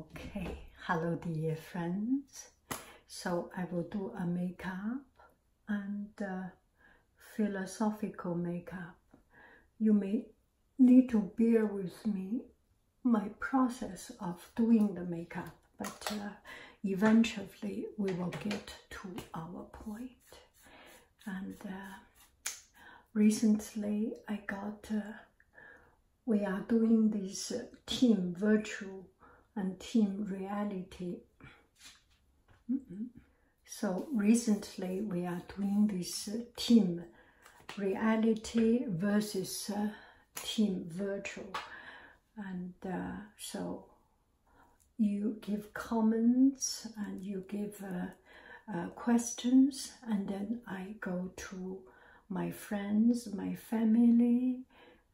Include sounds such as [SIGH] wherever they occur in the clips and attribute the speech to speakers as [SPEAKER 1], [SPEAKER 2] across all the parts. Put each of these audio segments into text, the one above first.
[SPEAKER 1] Okay, hello dear friends. So I will do a makeup and uh, philosophical makeup. You may need to bear with me my process of doing the makeup, but uh, eventually we will get to our point. And uh, recently I got we are doing this uh, team virtual and team reality. Mm-hmm. So recently we are doing this uh, team reality versus uh, team virtual, And so you give comments and you give questions and then I go to my friends, my family,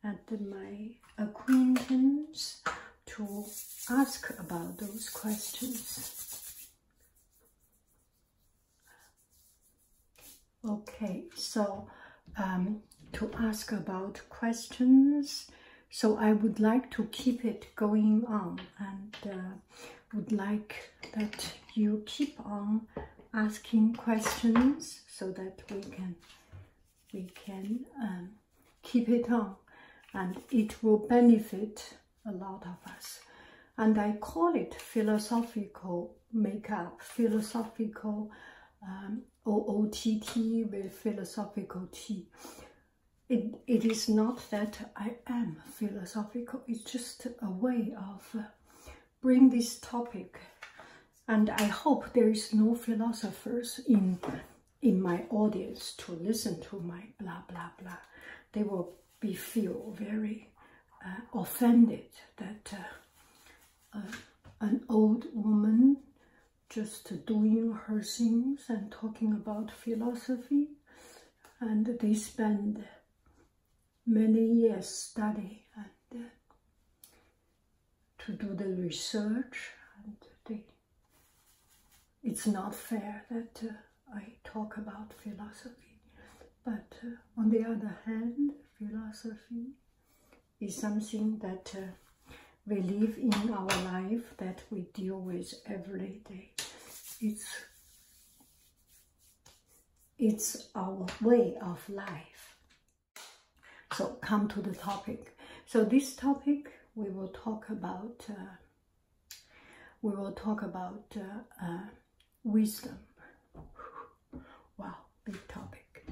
[SPEAKER 1] and my acquaintance to ask about those questions. Okay, so um, to ask about questions, so I would like to keep it going on and uh, would like that you keep on asking questions so that we can we can um, keep it on and it will benefit a lot of us and I call it philosophical makeup philosophical um, OOTT with philosophical tea it, it is not that I am philosophical it's just a way of bring this topic and I hope there is no philosophers in in my audience to listen to my blah blah blah. They will be feel very uh, offended that uh, uh, an old woman just doing her things and talking about philosophy and they spend many years study and uh, to do the research and the, it's not fair that uh, I talk about philosophy but uh, on the other hand philosophy is something that we live in our life that we deal with every day it's it's our way of life. So come to the topic. So this topic we will talk about uh, we will talk about uh, uh, wisdom. Wow, big topic.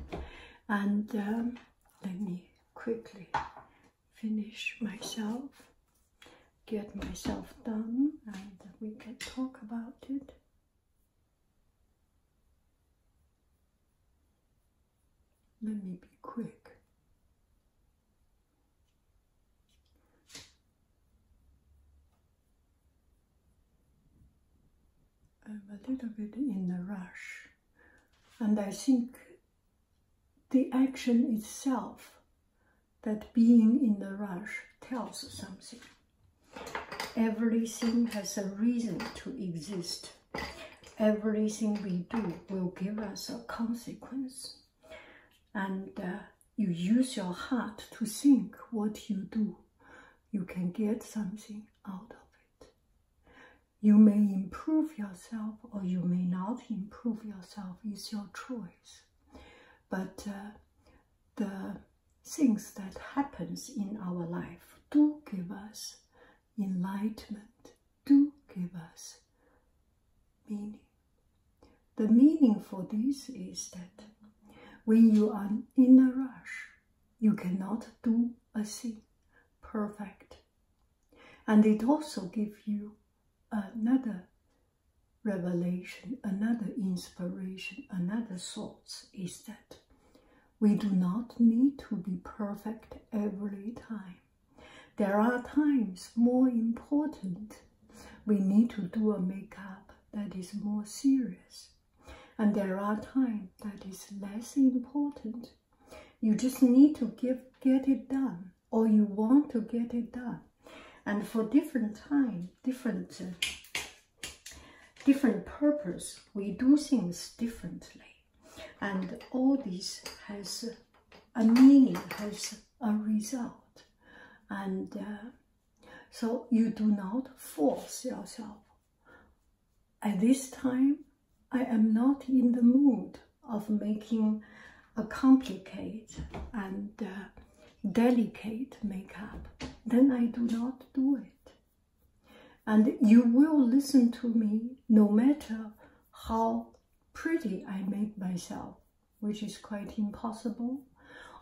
[SPEAKER 1] And um, let me quickly finish myself, get myself done, and we can talk about it. Let me be quick. I'm a little bit in a rush, and I think the action itself, that being in a rush, tells something. Everything has a reason to exist. Everything we do will give us a consequence. And uh, you use your heart to think what you do. You can get something out of it. You may improve yourself or you may not improve yourself. It's your choice. But uh, the things that happens in our life do give us enlightenment, do give us meaning. The meaning for this is that when you are in a rush, you cannot do a thing perfect. And it also gives you another revelation, another inspiration, another source is that we do not need to be perfect every time. There are times more important. We need to do a makeup that is more serious. And there are times that is less important. You just need to give, get it done or you want to get it done. And for different time, different uh, different purpose. We do things differently. And all this has a meaning, has a result. And uh, so you do not force yourself. At this time, I am not in the mood of making a complicated and uh, delicate makeup, then I do not do it. And you will listen to me no matter how pretty I make myself, which is quite impossible,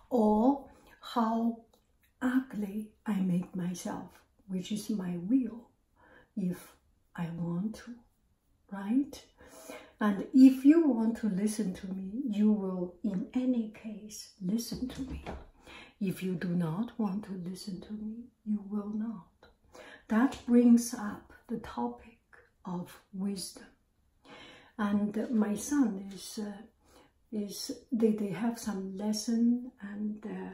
[SPEAKER 1] or how ugly I make myself, which is my will, if I want to, right? And if you want to listen to me, you will in any case listen to me. If you do not want to listen to me, you will not. That brings up the topic of wisdom. And my son is, uh, is they, they have some lesson and uh,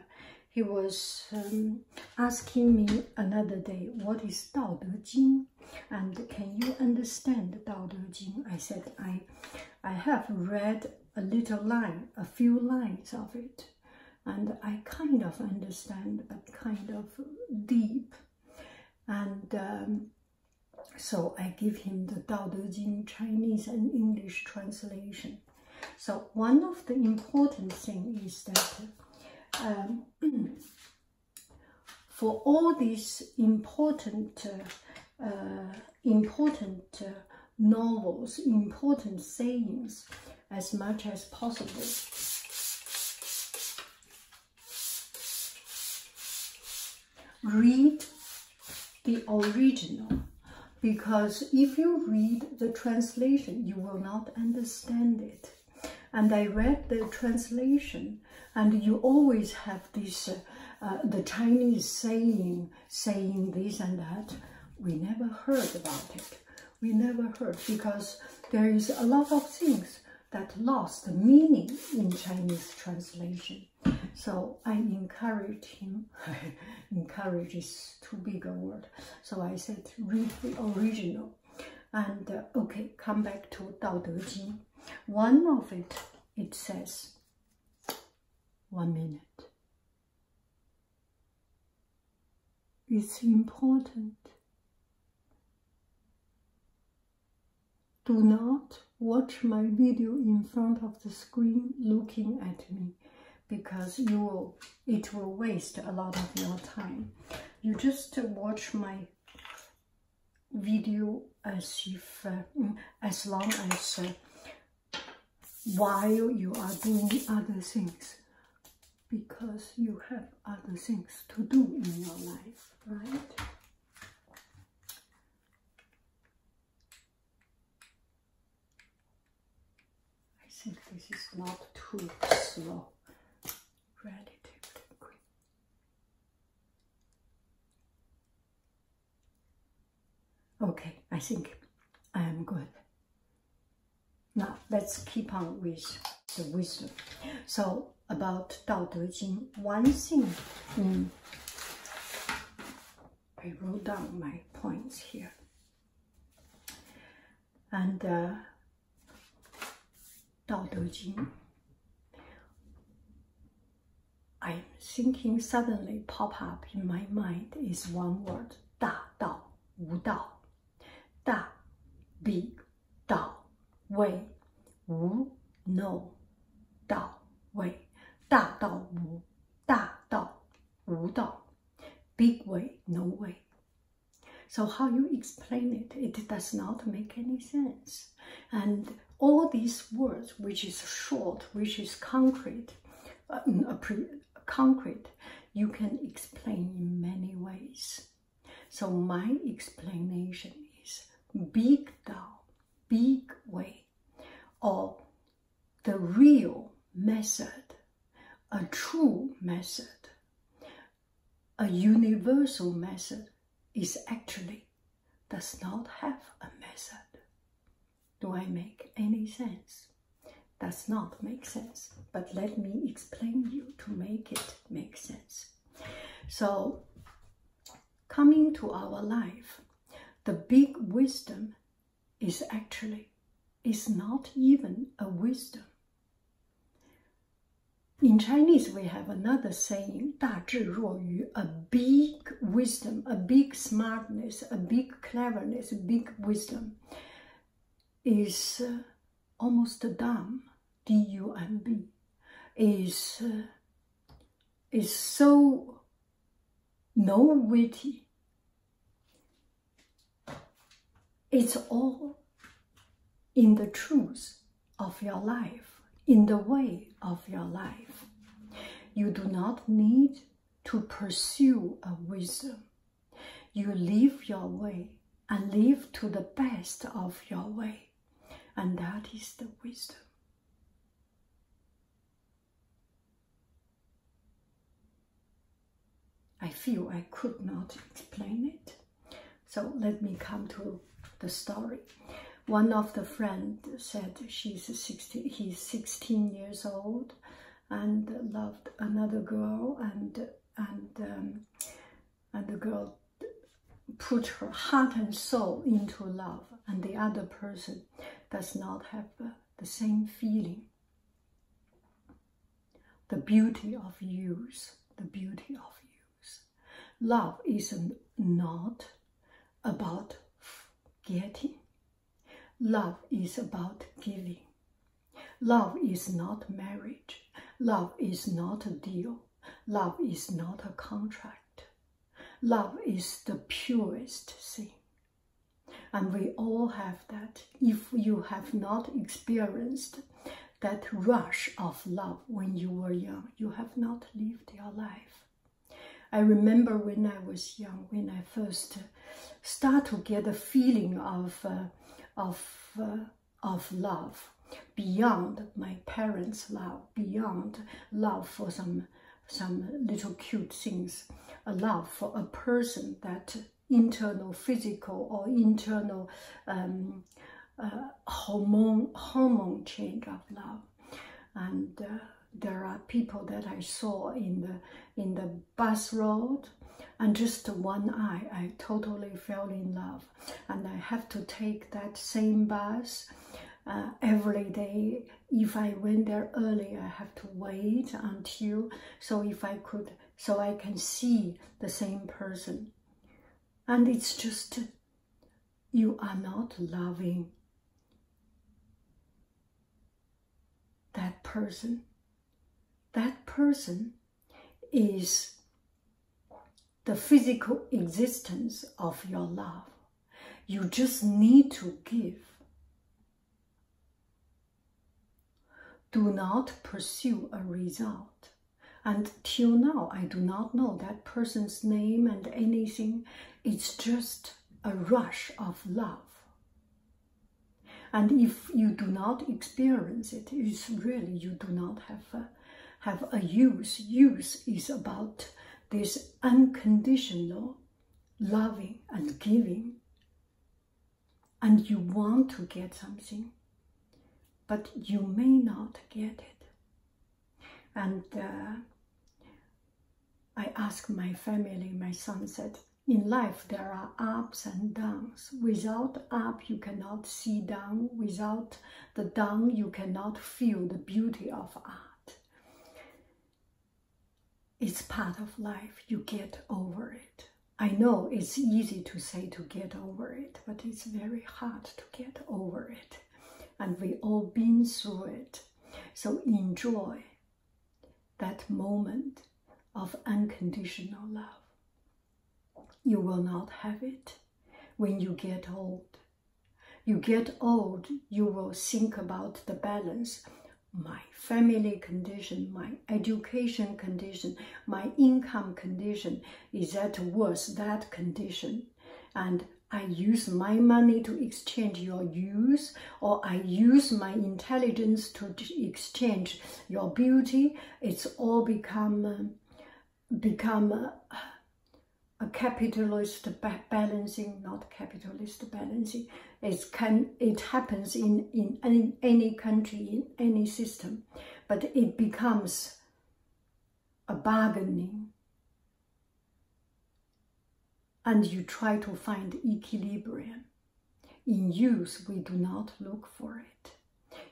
[SPEAKER 1] he was um, asking me another day, what is Dao De Jing? And can you understand Dao De Jing? I said, I I have read a little line, a few lines of it, and I kind of understand, a kind of deep. And um, so I give him the Dao De Jing Chinese and English translation. So one of the important thing is that um, [CLEARS THROAT] for all these important uh, uh, important uh, novels, important sayings as much as possible. Read the original because if you read the translation, you will not understand it. And I read the translation and you always have this, uh, the Chinese saying, saying this and that. We never heard about it. We never heard because there is a lot of things that lost meaning in Chinese translation. So I encourage him, [LAUGHS] encourage is too big a word. So I said, read the original. And uh, okay, come back to Dao De Jing. One of it, it says, one minute. It's important. Do not watch my video in front of the screen looking at me because you will, it will waste a lot of your time. You just watch my video as if uh, as long as uh, while you are doing other things because you have other things to do in your life right I think this is not too slow relatively quick Okay, I think I am um, good. Now, let's keep on with the wisdom. So, about Dao De Jing, one thing, mm, I wrote down my points here. And uh, Dao De I'm thinking suddenly pop up in my mind is one word, 大道,无道,大, big, 道, way, 无, no, 道, way, 大道无,大道,无道, big way, no way. So how you explain it, it does not make any sense. And all these words, which is short, which is concrete, uh, concrete, you can explain in many ways. So my explanation is big Tao, big way, or the real method, a true method, a universal method is actually does not have a method. Do I make any sense? Does not make sense, but let me explain you to make it make sense. So, coming to our life, the big wisdom is actually is not even a wisdom. In Chinese, we have another saying, 大智若愚, a bee big wisdom, a big smartness, a big cleverness, a big wisdom is uh, almost dumb, D-U-M-B, is, uh, is so no witty. It's all in the truth of your life, in the way of your life. You do not need to pursue a wisdom. You live your way and live to the best of your way. And that is the wisdom. I feel I could not explain it. So let me come to the story one of the friend said she's he's 16 years old and loved another girl and and um, and the girl put her heart and soul into love and the other person does not have the same feeling the beauty of use the beauty of use love is not about getting. Love is about giving. Love is not marriage. Love is not a deal. Love is not a contract. Love is the purest thing. And we all have that. If you have not experienced that rush of love when you were young, you have not lived your life. I remember when I was young, when I first uh, start to get a feeling of, uh, of, uh, of love beyond my parents' love, beyond love for some, some little cute things, a love for a person that internal physical or internal um, hormone, hormone change of love and uh, there are people that I saw in the in the bus road and just one eye I totally fell in love and I have to take that same bus uh, every day if I went there early I have to wait until so if I could so I can see the same person and it's just you are not loving that person, that person is the physical existence of your love. You just need to give. Do not pursue a result. And till now, I do not know that person's name and anything, it's just a rush of love. And if you do not experience it, it's really you do not have a, have a use. Use is about this unconditional loving and giving. And you want to get something, but you may not get it. And uh, I asked my family, my son said, in life there are ups and downs. Without up you cannot see down. Without the down you cannot feel the beauty of art. It's part of life. You get over it. I know it's easy to say to get over it, but it's very hard to get over it. And we all been through it. So enjoy that moment of unconditional love. You will not have it when you get old. You get old, you will think about the balance my family condition, my education condition, my income condition, is that worth that condition? And I use my money to exchange your use, or I use my intelligence to exchange your beauty. It's all become uh, become uh, a, capitalist balancing, not capitalist balancing. It can it happens in in any country in any system, but it becomes a bargaining and you try to find equilibrium. In youth, we do not look for it.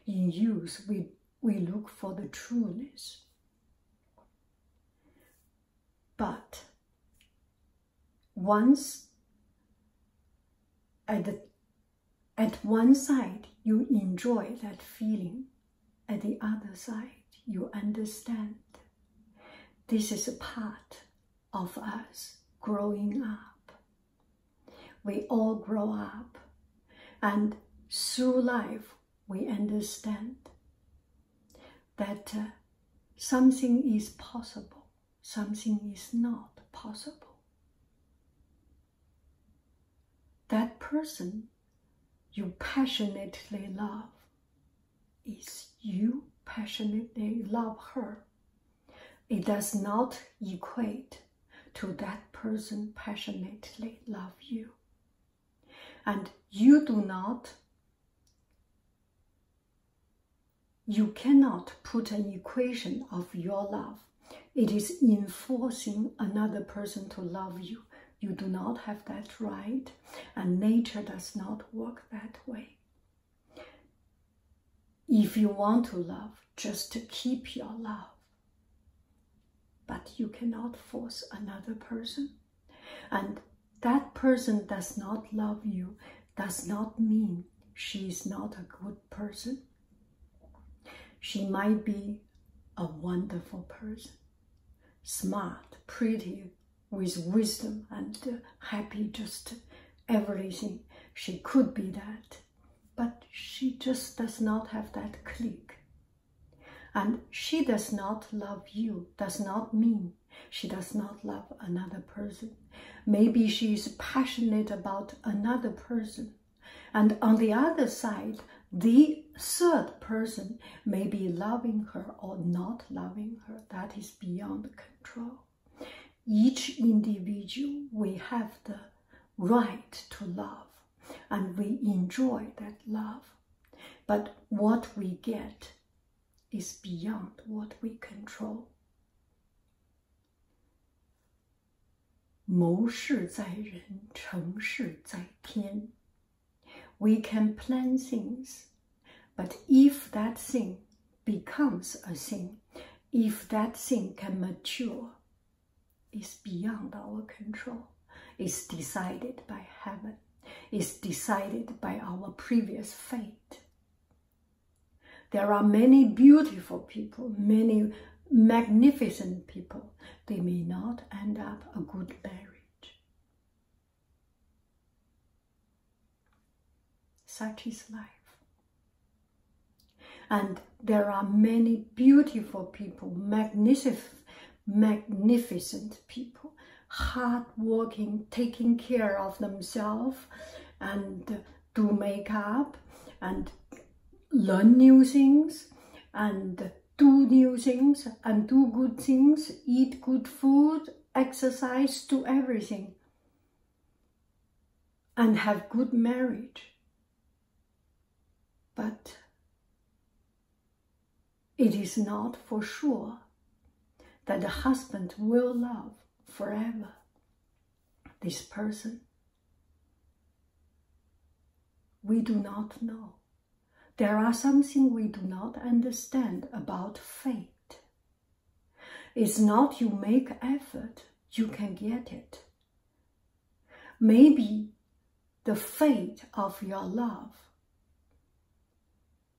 [SPEAKER 1] In youth, we, we look for the trueness. But once at, at one side, you enjoy that feeling. At the other side, you understand this is a part of us growing up. We all grow up and through life we understand that uh, something is possible, something is not possible. That person you passionately love is you passionately love her. It does not equate to that person passionately love you. And you do not, you cannot put an equation of your love. It is enforcing another person to love you. You do not have that right and nature does not work that way. If you want to love, just to keep your love. But you cannot force another person. And that person does not love you, does not mean she is not a good person. She might be a wonderful person, smart, pretty, with wisdom and uh, happy, just everything. She could be that, but she just does not have that click. And she does not love you, does not mean she does not love another person. Maybe she is passionate about another person. And on the other side, the third person may be loving her or not loving her. That is beyond control. Each individual, we have the right to love and we enjoy that love. But what we get is beyond what we control. 谋事在人，成事在天。we can plan things, but if that thing becomes a thing, if that thing can mature, it's beyond our control, It's decided by heaven, It's decided by our previous fate. There are many beautiful people, many magnificent people. They may not end up a good marriage. Such is life. And there are many beautiful people, magnificent, magnificent people, hardworking, taking care of themselves and do makeup and learn new things and do new things and do good things, eat good food exercise to everything and have good marriage. But it is not for sure that the husband will love forever this person. We do not know. There are something we do not understand about fate. It's not you make effort, you can get it. Maybe the fate of your love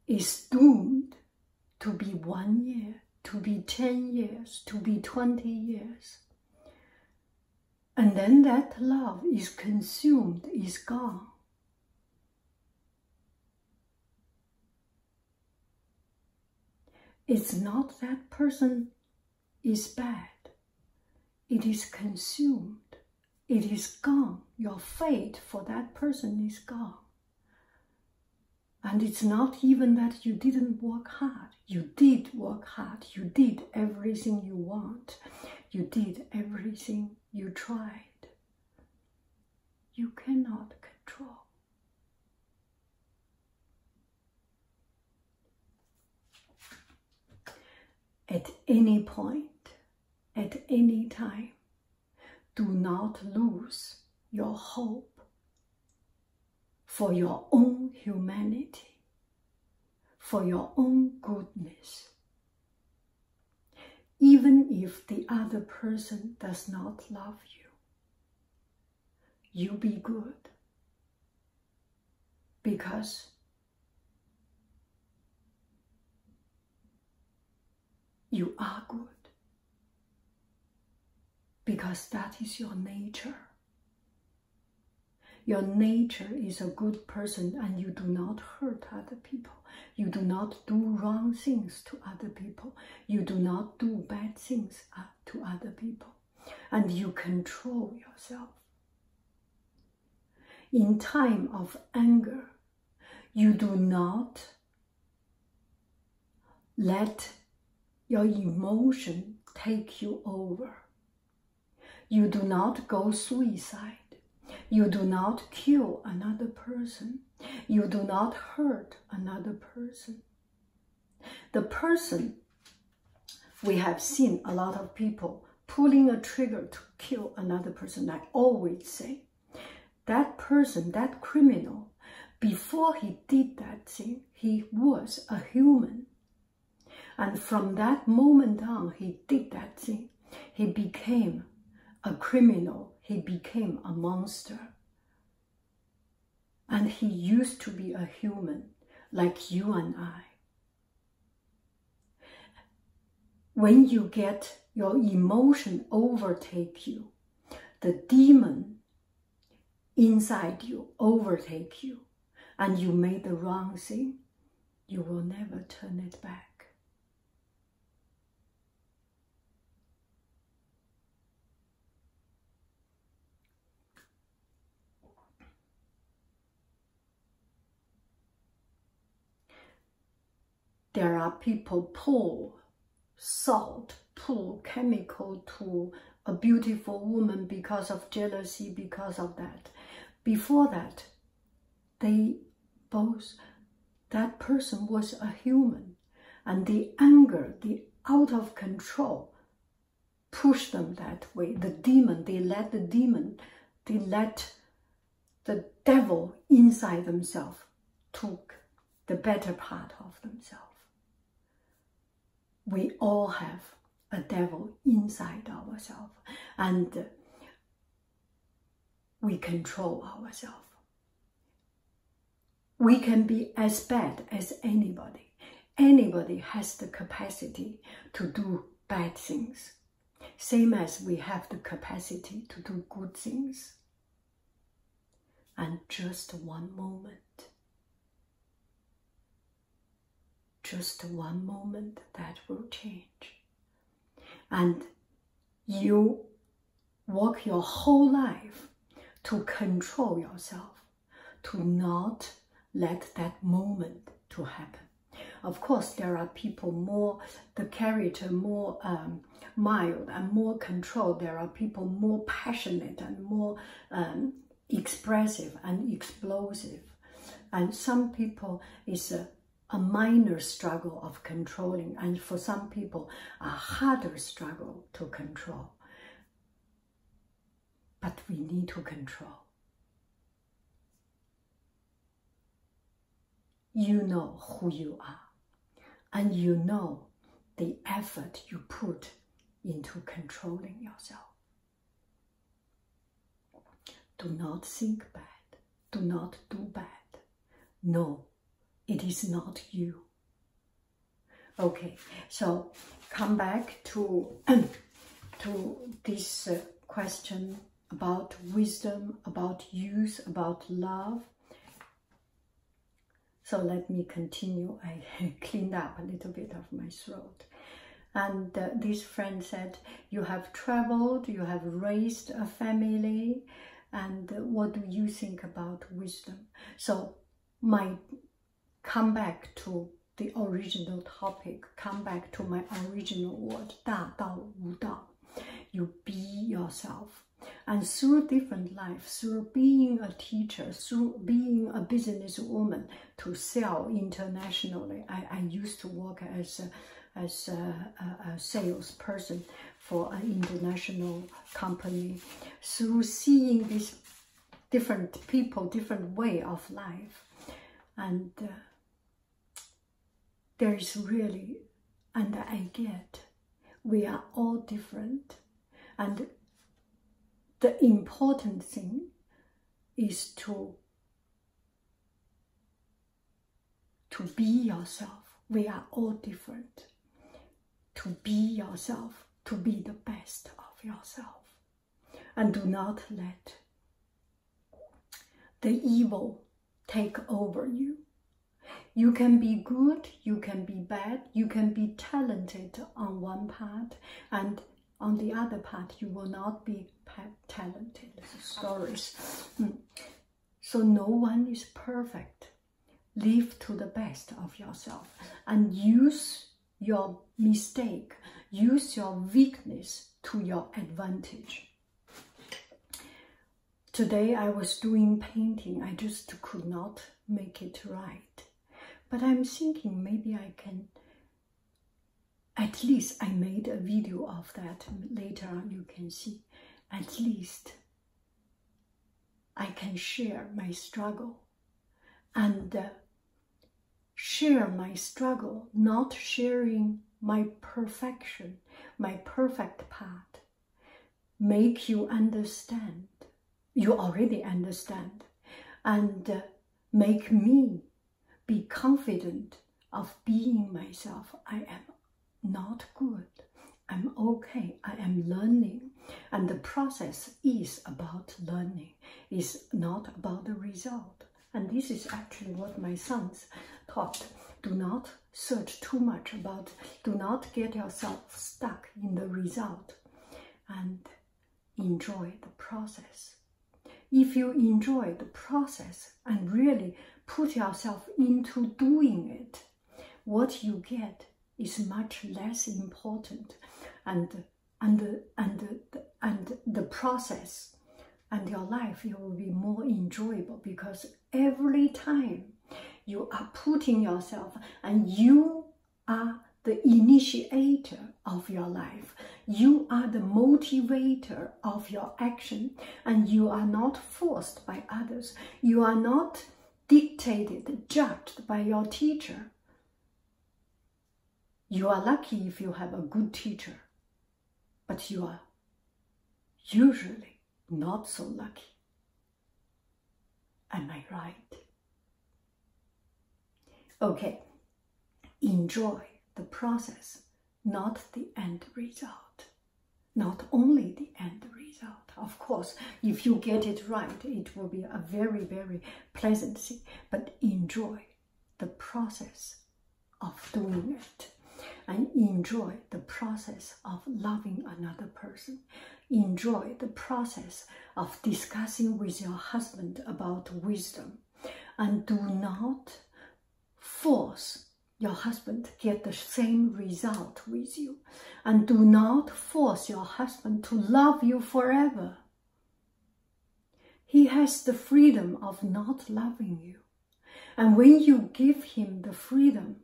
[SPEAKER 1] is doomed to be one year, to be 10 years, to be 20 years. And then that love is consumed, is gone. It's not that person is bad. It is consumed. It is gone. Your fate for that person is gone. And it's not even that you didn't work hard. You did work hard. You did everything you want. You did everything you tried you cannot control. At any point, at any time, do not lose your hope for your own humanity, for your own goodness even if the other person does not love you. You be good because you are good, because that is your nature. Your nature is a good person and you do not hurt others people. You do not do wrong things to other people. You do not do bad things uh, to other people. And you control yourself. In time of anger, you do not let your emotion take you over. You do not go suicide. You do not kill another person. You do not hurt another person. The person, we have seen a lot of people pulling a trigger to kill another person, I always say. That person, that criminal, before he did that thing, he was a human. And from that moment on, he did that thing. He became a criminal he became a monster. And he used to be a human like you and I. When you get your emotion overtake you, the demon inside you overtake you, and you made the wrong thing, you will never turn it back. There are people pull salt, pull chemical to a beautiful woman because of jealousy, because of that. Before that, they both that person was a human and the anger, the out of control pushed them that way. The demon, they let the demon, they let the devil inside themselves took the better part of themselves. We all have a devil inside ourselves and we control ourselves. We can be as bad as anybody. Anybody has the capacity to do bad things, same as we have the capacity to do good things. And just one moment, just one moment that will change. And you work your whole life to control yourself, to not let that moment to happen. Of course, there are people more, the character more um, mild and more controlled. There are people more passionate and more um, expressive and explosive. And some people is a minor struggle of controlling. And for some people, a harder struggle to control. But we need to control. You know who you are, and you know the effort you put into controlling yourself. Do not think bad. Do not do bad. No it is not you. Okay, so come back to, [CLEARS THROAT] to this uh, question about wisdom, about youth, about love. So let me continue. I [LAUGHS] cleaned up a little bit of my throat. And uh, this friend said, you have traveled, you have raised a family, and what do you think about wisdom? So my come back to the original topic, come back to my original word, 大道无道. You be yourself. And through different life, through being a teacher, through being a businesswoman to sell internationally, I, I used to work as as a salesperson for an international company. Through seeing these different people, different way of life, and uh, there is really, and I get, we are all different. And the important thing is to to be yourself. We are all different. To be yourself, to be the best of yourself. And do not let the evil take over you. You can be good, you can be bad, you can be talented on one part, and on the other part, you will not be talented. Stories. Mm. So no one is perfect live to the best of yourself and use your mistake, use your weakness to your advantage. Today I was doing painting, I just could not make it right. But I'm thinking maybe I can, at least I made a video of that, later you can see, at least I can share my struggle and uh, share my struggle, not sharing my perfection, my perfect part. Make you understand. You already understand. And uh, make me be confident of being myself. I am not good. I'm okay. I am learning. And the process is about learning, It's not about the result. And this is actually what my sons taught. Do not search too much about, do not get yourself stuck in the result and enjoy the process. If you enjoy the process and really put yourself into doing it, what you get is much less important and and and and the process and your life will be more enjoyable because every time you are putting yourself and you are the initiator of your life. You are the motivator of your action and you are not forced by others. You are not dictated, judged by your teacher. You are lucky if you have a good teacher, but you are usually not so lucky. Am I right? Okay, enjoy the process, not the end result not only the end result. Of course, if you get it right, it will be a very, very pleasant but enjoy the process of doing it and enjoy the process of loving another person. Enjoy the process of discussing with your husband about wisdom and do not force your husband get the same result with you and do not force your husband to love you forever. He has the freedom of not loving you. And when you give him the freedom,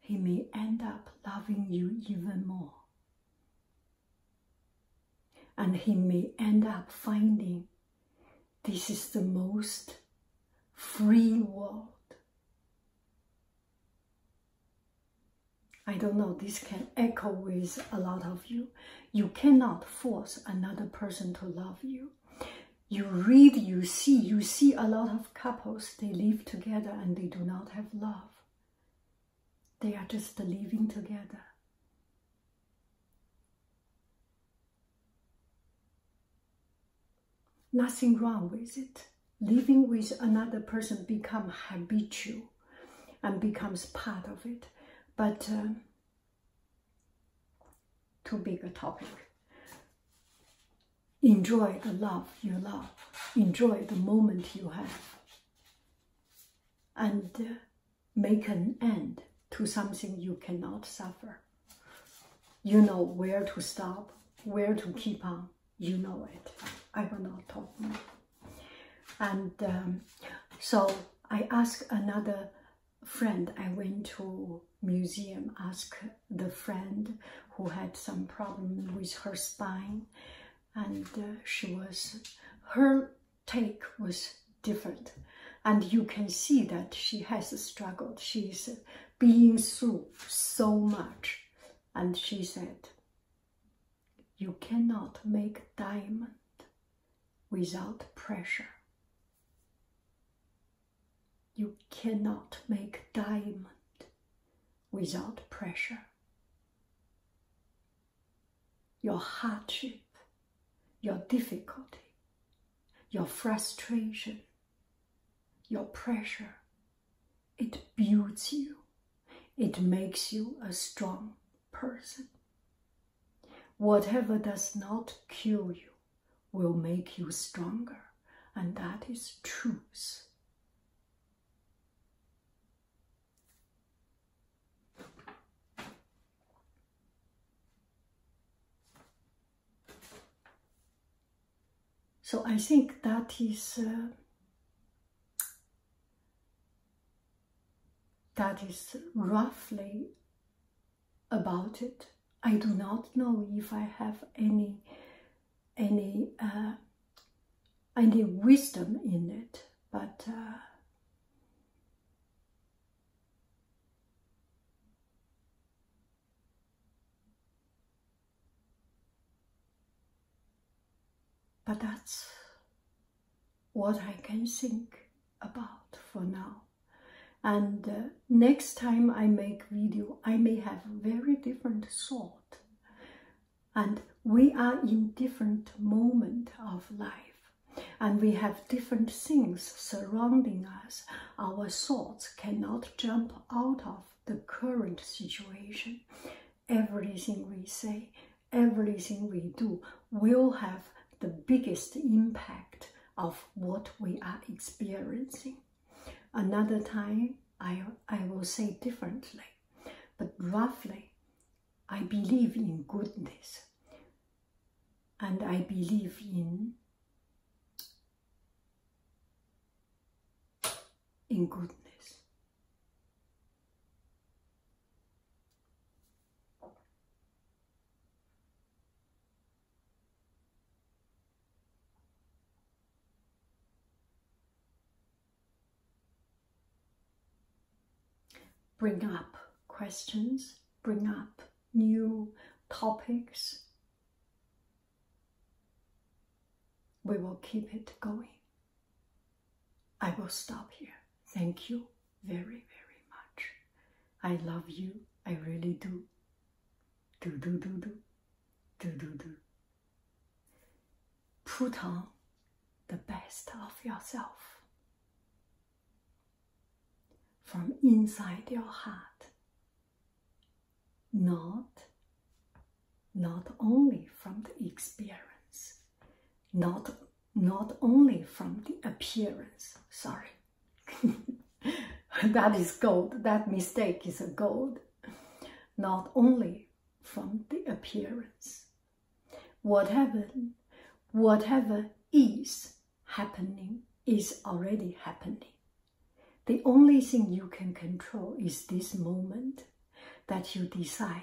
[SPEAKER 1] he may end up loving you even more. And he may end up finding this is the most free world. I don't know, this can echo with a lot of you. You cannot force another person to love you. You read, you see, you see a lot of couples, they live together and they do not have love. They are just living together. Nothing wrong with it. Living with another person become habitual and becomes part of it. But uh, too big a topic. Enjoy the love you love. Enjoy the moment you have. And uh, make an end to something you cannot suffer. You know where to stop, where to keep on. You know it. I will not talk And um, so I asked another friend. I went to museum, ask the friend who had some problem with her spine, and uh, she was her take was different and you can see that she has struggled. She's being through so much. And she said, you cannot make diamond without pressure. You cannot make diamond without pressure. Your hardship, your difficulty, your frustration, your pressure, it builds you. It makes you a strong person. Whatever does not kill you will make you stronger, and that is truth. So I think that is uh, that is roughly about it. I do not know if I have any any uh, any wisdom in it, but uh, but that's what I can think about for now. And uh, next time I make video, I may have very different thought. And we are in different moment of life. And we have different things surrounding us. Our thoughts cannot jump out of the current situation. Everything we say, everything we do will have the biggest impact of what we are experiencing. Another time, I, I will say differently, but roughly, I believe in goodness and I believe in in goodness. Bring up questions, bring up new topics, we will keep it going. I will stop here. Thank you very, very much. I love you. I really do. Do, do, do, do. Do, do, do. Put on the best of yourself. From inside your heart not not only from the experience not not only from the appearance sorry [LAUGHS] that is gold that mistake is a gold not only from the appearance whatever whatever is happening is already happening. The only thing you can control is this moment that you decide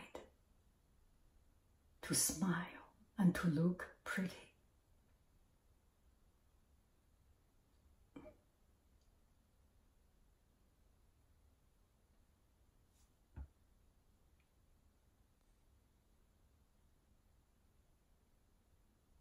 [SPEAKER 1] to smile and to look pretty.